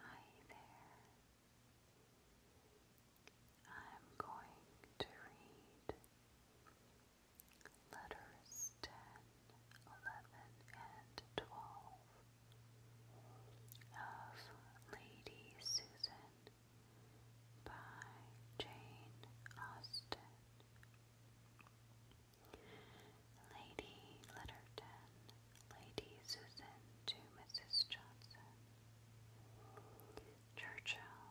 Hi there. I'm going to read letters 10, and 12 of Lady Susan by Jane Austen. Lady Litterton, Lady Susan to Mrs. Johnson, Churchill.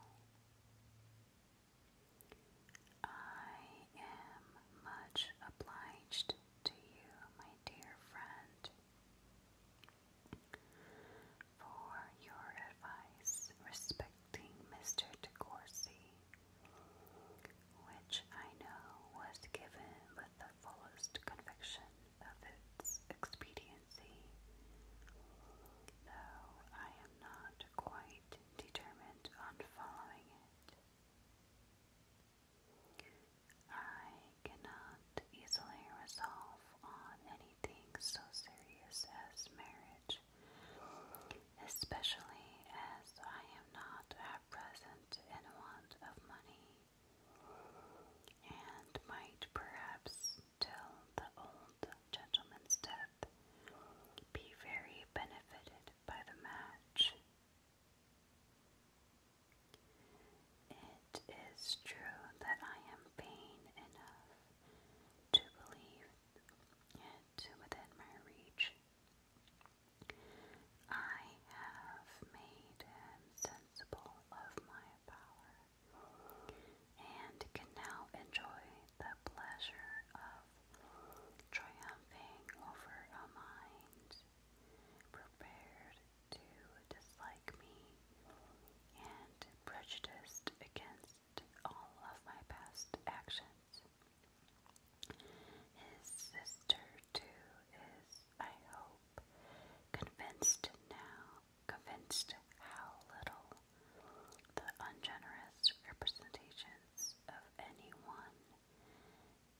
I am much obliged to you, my dear friend, for your advice respecting Mr. De Courcy which I know was given with the fullest conviction of its expediency, though I am not quite determined on following it. I cannot easily resolve on anything so serious as marriage, especially as I am not are present in want of money, and might perhaps till the old gentleman's death be very benefited by the match. It is true that I am vain enough to believe it within my reach, I have made sensible of my power, and can now enjoy the pleasure of triumphing over a mind prepared to dislike me and prejudiced against all of my past actions. His sister, too, is, I hope, convinced now, convinced how little the ungenerous representations of any one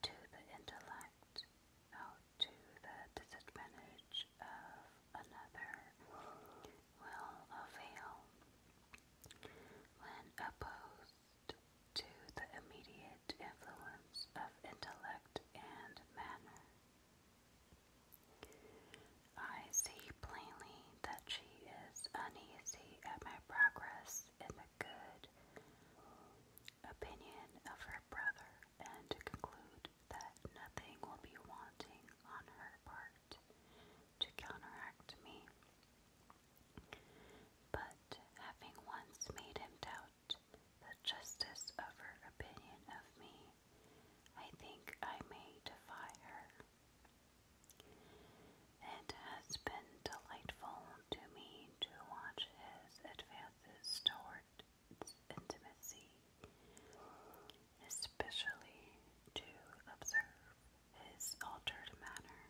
to the intellect, out oh, to the disadvantage of another, will avail when opposed to the immediate influence of intellect and manner. I see plainly that she is uneasy at my progress in the good opinion of her brother, and to conclude that nothing will be wanting on her part to counteract me. But having once made him doubt the justice of her opinion of me, I think I may defy her. It has been delightful to me to watch his advances toward intimacy, especially to observe his altered manner.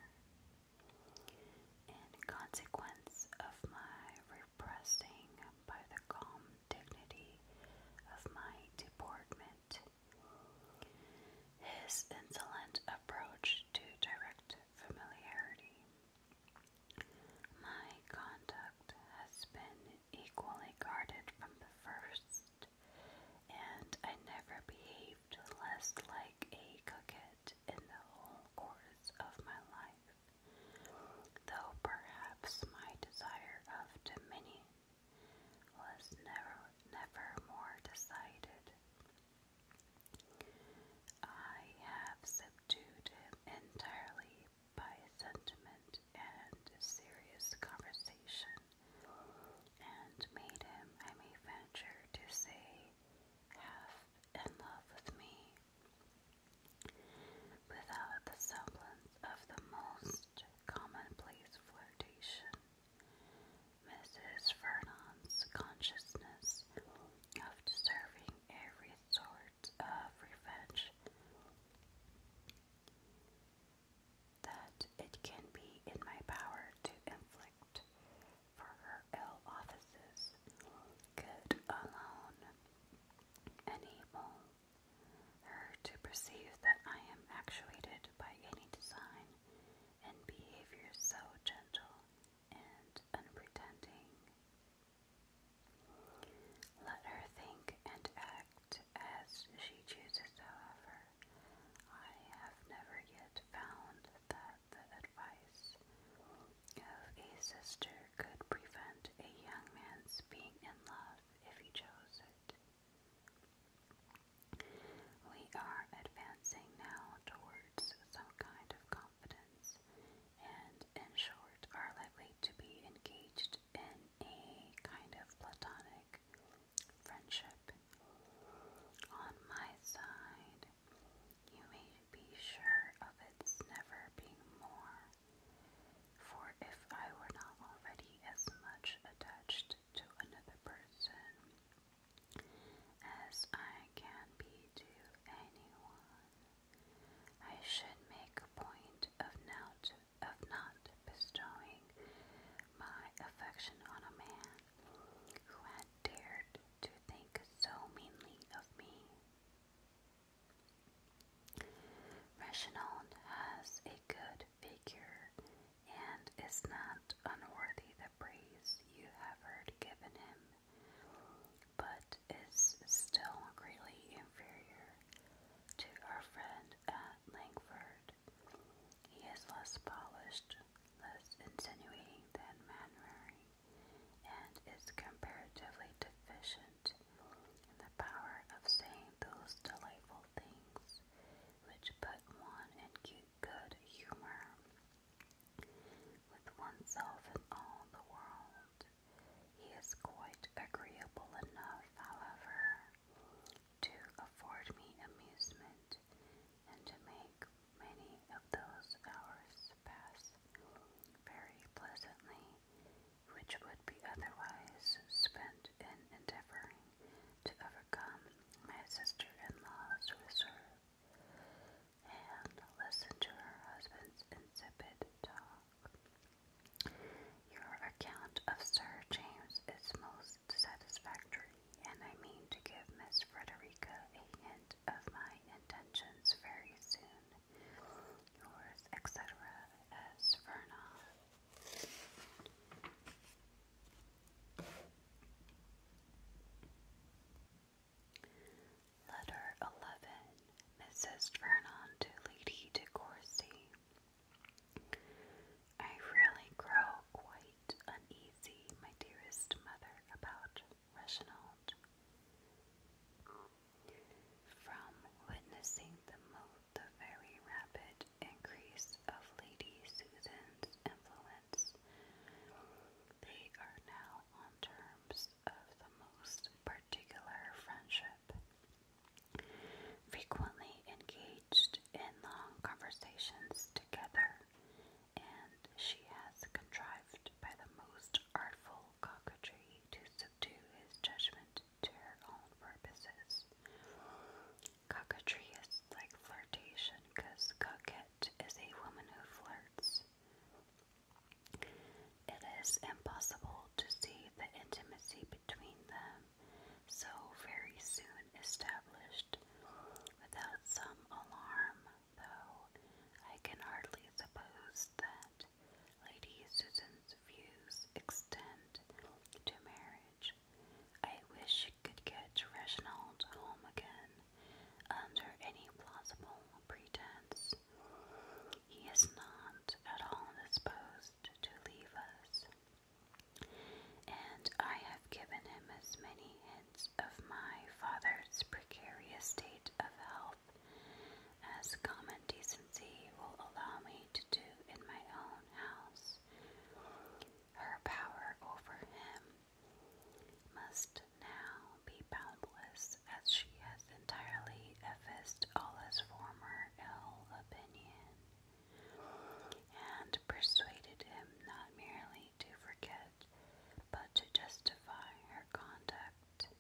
In consequence of my repressing by the calm dignity of my deportment, his insolent approach to direct familiarity, my conduct has been equally guarded from the first and I never behaved less like a coquette in the whole course of my life, though perhaps my desire of dominion was never, never more decided. I have subdued him entirely by sentiment and serious conversation and made him, I may venture to say, half in love with me, without the semblance of the most commonplace flirtation. Mrs. Vernon's consciousness of deserving every sort of revenge that it can be in my power to inflict for her ill offices, good alone, and her to perceive that I am actuated by any design and behavior so gentle and unpretending. Let her think and act as she chooses, however, I have never yet found that the advice of a sister could prevent a young man's being in love if he chose it. We are advancing now towards some kind of confidence, and in short, are likely to be engaged in a kind of platonic friendship on my side. You may be sure of its never being more, for if I were not already as much attached to another person as I can be to anyone, I should make a point of not of not bestowing my affection on a man who had dared to think so meanly of me. Reginald has a good figure and is not unworthy the praise you have heard given him, but is still greatly inferior to our friend at Langford. He is less polished, less insinuating than Manrari, and is comparatively deficient in the power of saying those delightful things which put one in good humor with oneself and all the world. He is quite agreeable enough, however, to afford me amusement, and to make many of those hours pass very pleasantly, which would be otherwise spent in endeavoring to overcome my sister-in-law's reserve, and listen to her husband's insipid talk. Your account of Sir James is most satisfactory, and I mean to give Miss Frederica a hint of my intentions very soon. Yours, etc., S. Vernon. Letter 11. Mrs. Vernon to Lady De Courcy. I really grow quite uneasy, my dearest mother, about Reginald. From witnessing the, the very rapid increase of Lady Susan's influence, they are now on terms of the most particular friendship frequently engaged in long conversations together, and she has contrived by the most artful coquetry to subdue his judgment to her own purposes. Coquetry is like flirtation because coquette is a woman who flirts. It is impossible to see the intimacy between them so very soon established. Without some alarm, though, I can hardly suppose that Lady Susan's views extend to marriage. I wish she could get Reginald home again under any plausible pretense. He is not at all disposed to leave us. And I have given him as many hints of my father's precarious state of health as common decency will allow me to do in my own house. Her power over him must now be boundless, as she has entirely effaced all his former ill opinion and persuaded him not merely to forget, but to justify her conduct.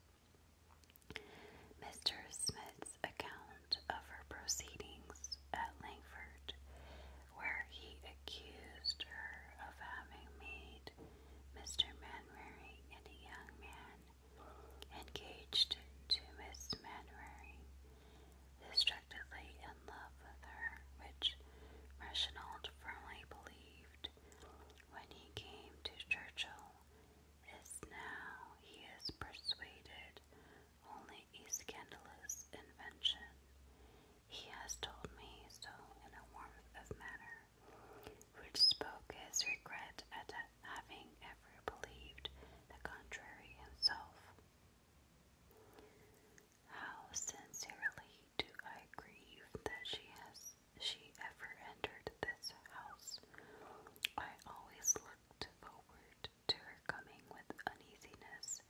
Mr. Smith's account of her proceedings at Langford, where he accused her of having made Mr. Manwaring and a young man engaged to Miss Manwaring distractedly in love with her, which Reginald firmly believed when he came to Churchill, is now, he is persuaded, only a scandalous invention. He has told me so in a warmth of manner, which spoke his regret at having ever believed the contrary himself. How sincerely do I grieve that she has she ever entered this house. I always looked forward to her coming with uneasiness,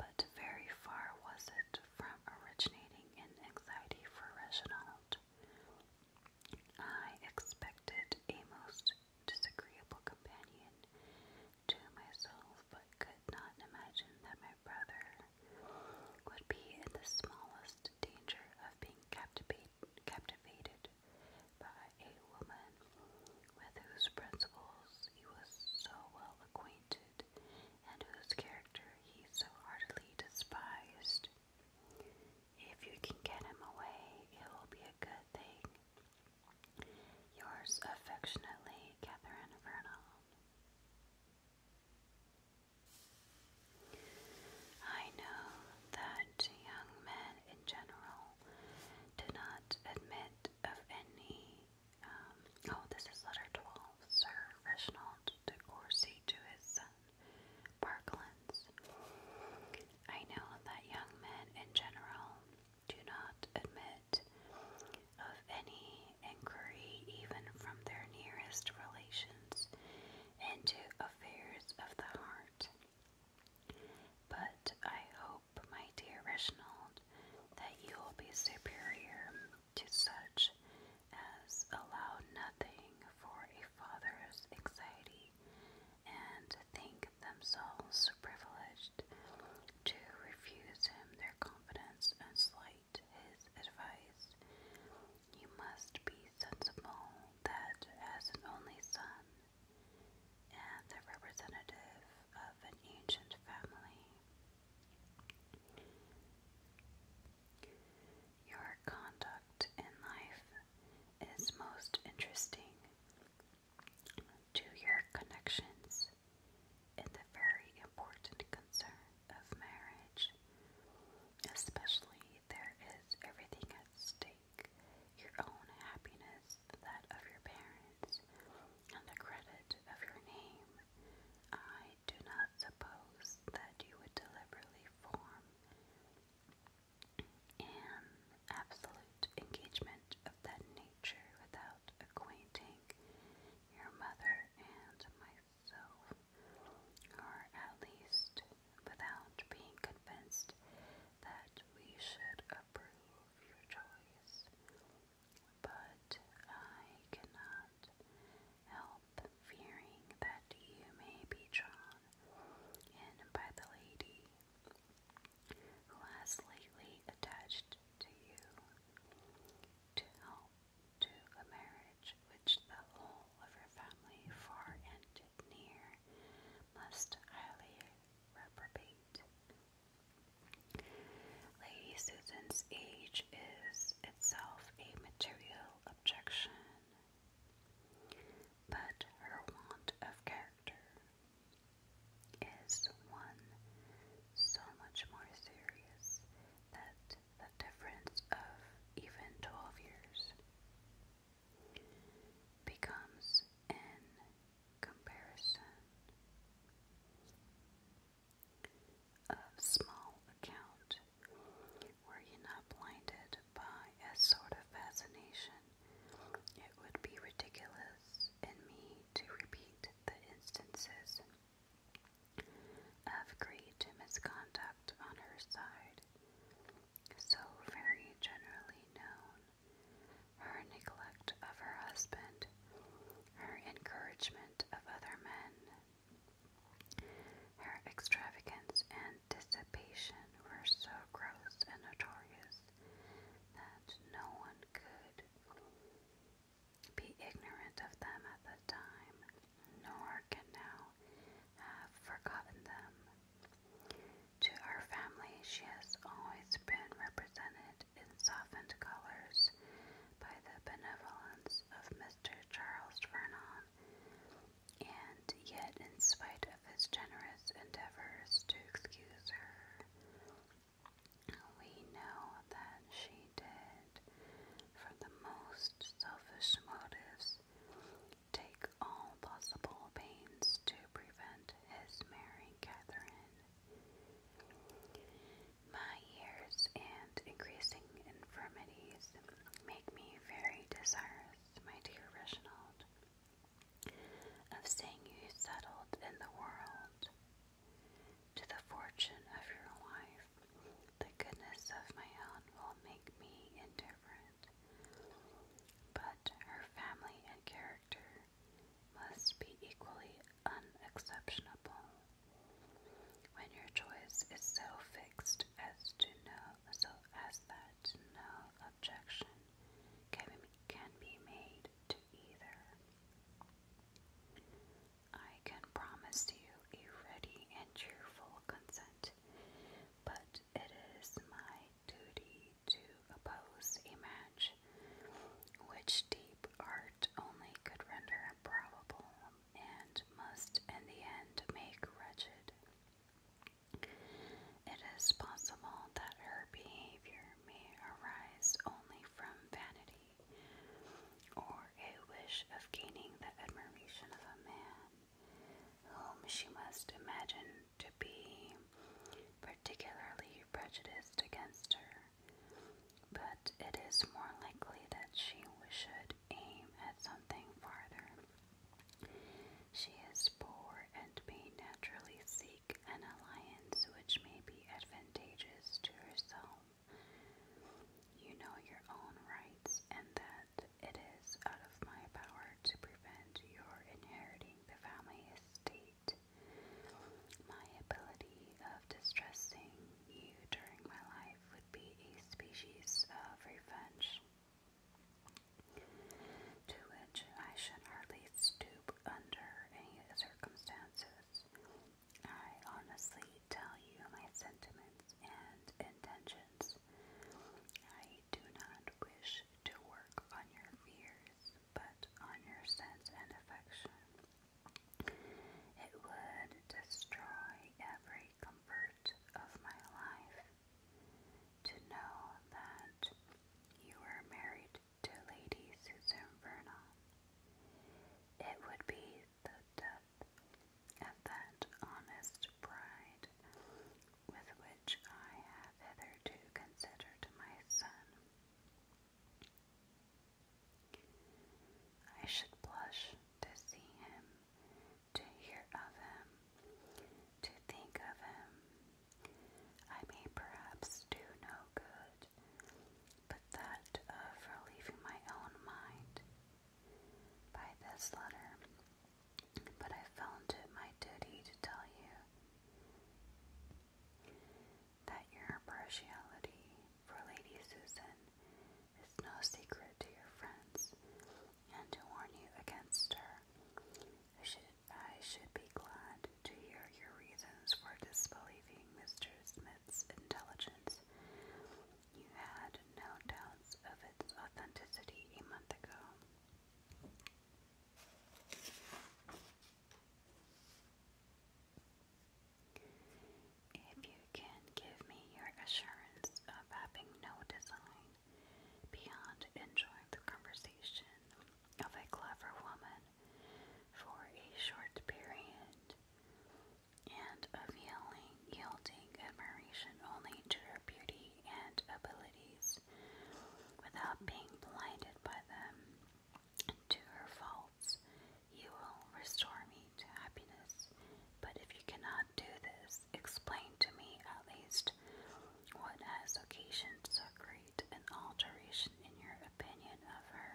but very far was it from originating in anxiety for Reginald. I expected a most disagreeable companion to myself, but could not imagine that my brother would be in the smallest danger of being captivated by a woman with whose principles he was so well acquainted and whose character he so heartily despised. If you can get him away, it will be a good thing. Yours affectionately, Catherine Vernon. I know that young men in general do not admit of any. Um, oh, this is letter 12. Sir Reginald de Courcy to his son, Parkland. I know that young men in general do not admit of any inquiry, even from their nearest relations, into affairs of the heart. But I hope, my dear Reginald, that you will be superior to such as allow nothing for a father's anxiety and think themselves privileged to refuse him their confidence and slight his advice. You must be sensible that as an only son and the representative of an ancient family, your conduct in life is most interesting to your connections in the very important concern of marriage. Especially, there is everything at stake your own happiness, that of your parents, and the credit of your name. I do not suppose that you would deliberately form an absolute engagement of that nature without acquainting your mother and myself, or at least without being convinced that we should approve your choice. But I cannot help fearing that you may be drawn and by the lady who has lately attached to you to help to a marriage which the whole of her family, far and near, must highly reprobate. Lady Susan's age is itself a material objection but her want of character is one so much more serious that the difference of even 12 years becomes in comparison of small account were you not blinded by a sort of fascination, it would be ridiculous in me to repeat the instances of great misconduct on her side, so very generally known. Her neglect of her husband, her encouragement of other men, her extravagance and anticipation were so gross and notorious that no one could be ignorant of them at the time, nor can now have forgotten them. To our family, she has always been represented in softened colors by the benevolence of Mr. Charles Vernon, and yet, in spite of his generous endeavors to excuse her, we know that she did, from the most selfish motives, take all possible pains to prevent his marrying Catherine. My years and increasing infirmities make me very desirous my dear Reginald, of seeing you settled in the world, to the fortune of your life, the goodness of my own will make me indifferent. But her family and character must be equally unexceptionable. When your choice is so fixed as to know so as that no objection can be, made to either. I can promise you a ready and cheerful consent, but it is my duty to oppose a match which deep art only could render improbable and must in the end make wretched it is possible that her behavior may arise only from vanity or a wish of gaining the admiration of a man whom she must imagine to be particularly prejudiced against her. But it is more likely that she should aim at something farther. She is poor and may naturally seek an alliance which may be advantageous to herself. You know your own rights and that it is out of my power to prevent your inheriting the family estate. My ability of distressing you during my life would be a species of uh, revenge, to which I should hardly stoop under any circumstances. I honestly tell you my sentiments and intentions. I do not wish to work on your fears, but on your sense and affection. It would destroy every comfort of my life to know that you were married to Lady Susan Vernon. It would be the death of that honest pride with which I have hitherto considered my son. I should blush to see him to hear of him, to think of him. I may perhaps do no good, but that of relieving my own mind by this letter. But I found it my duty to tell you that your partiality for Lady Susan it's no secret to your friends, and to warn you against her, I should, I should be glad to hear your reasons for disbelieving Mr. Smith's intelligence. You had no doubts of its authenticity a month ago. If you can give me your assurance of having no design beyond enjoying the conversation of a clever woman for a short period, and of yelling, yielding admiration only to her beauty and abilities without being blinded by them to her faults you will restore me to happiness. But if you cannot do this, explain to me at least what has occasioned so great an alteration in your opinion of her.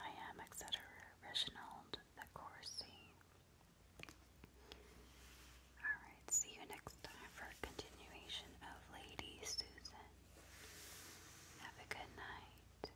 I am, etc. Reginald the Corsi. Alright, see you next time for continuation of Lady Susan. Have a good night.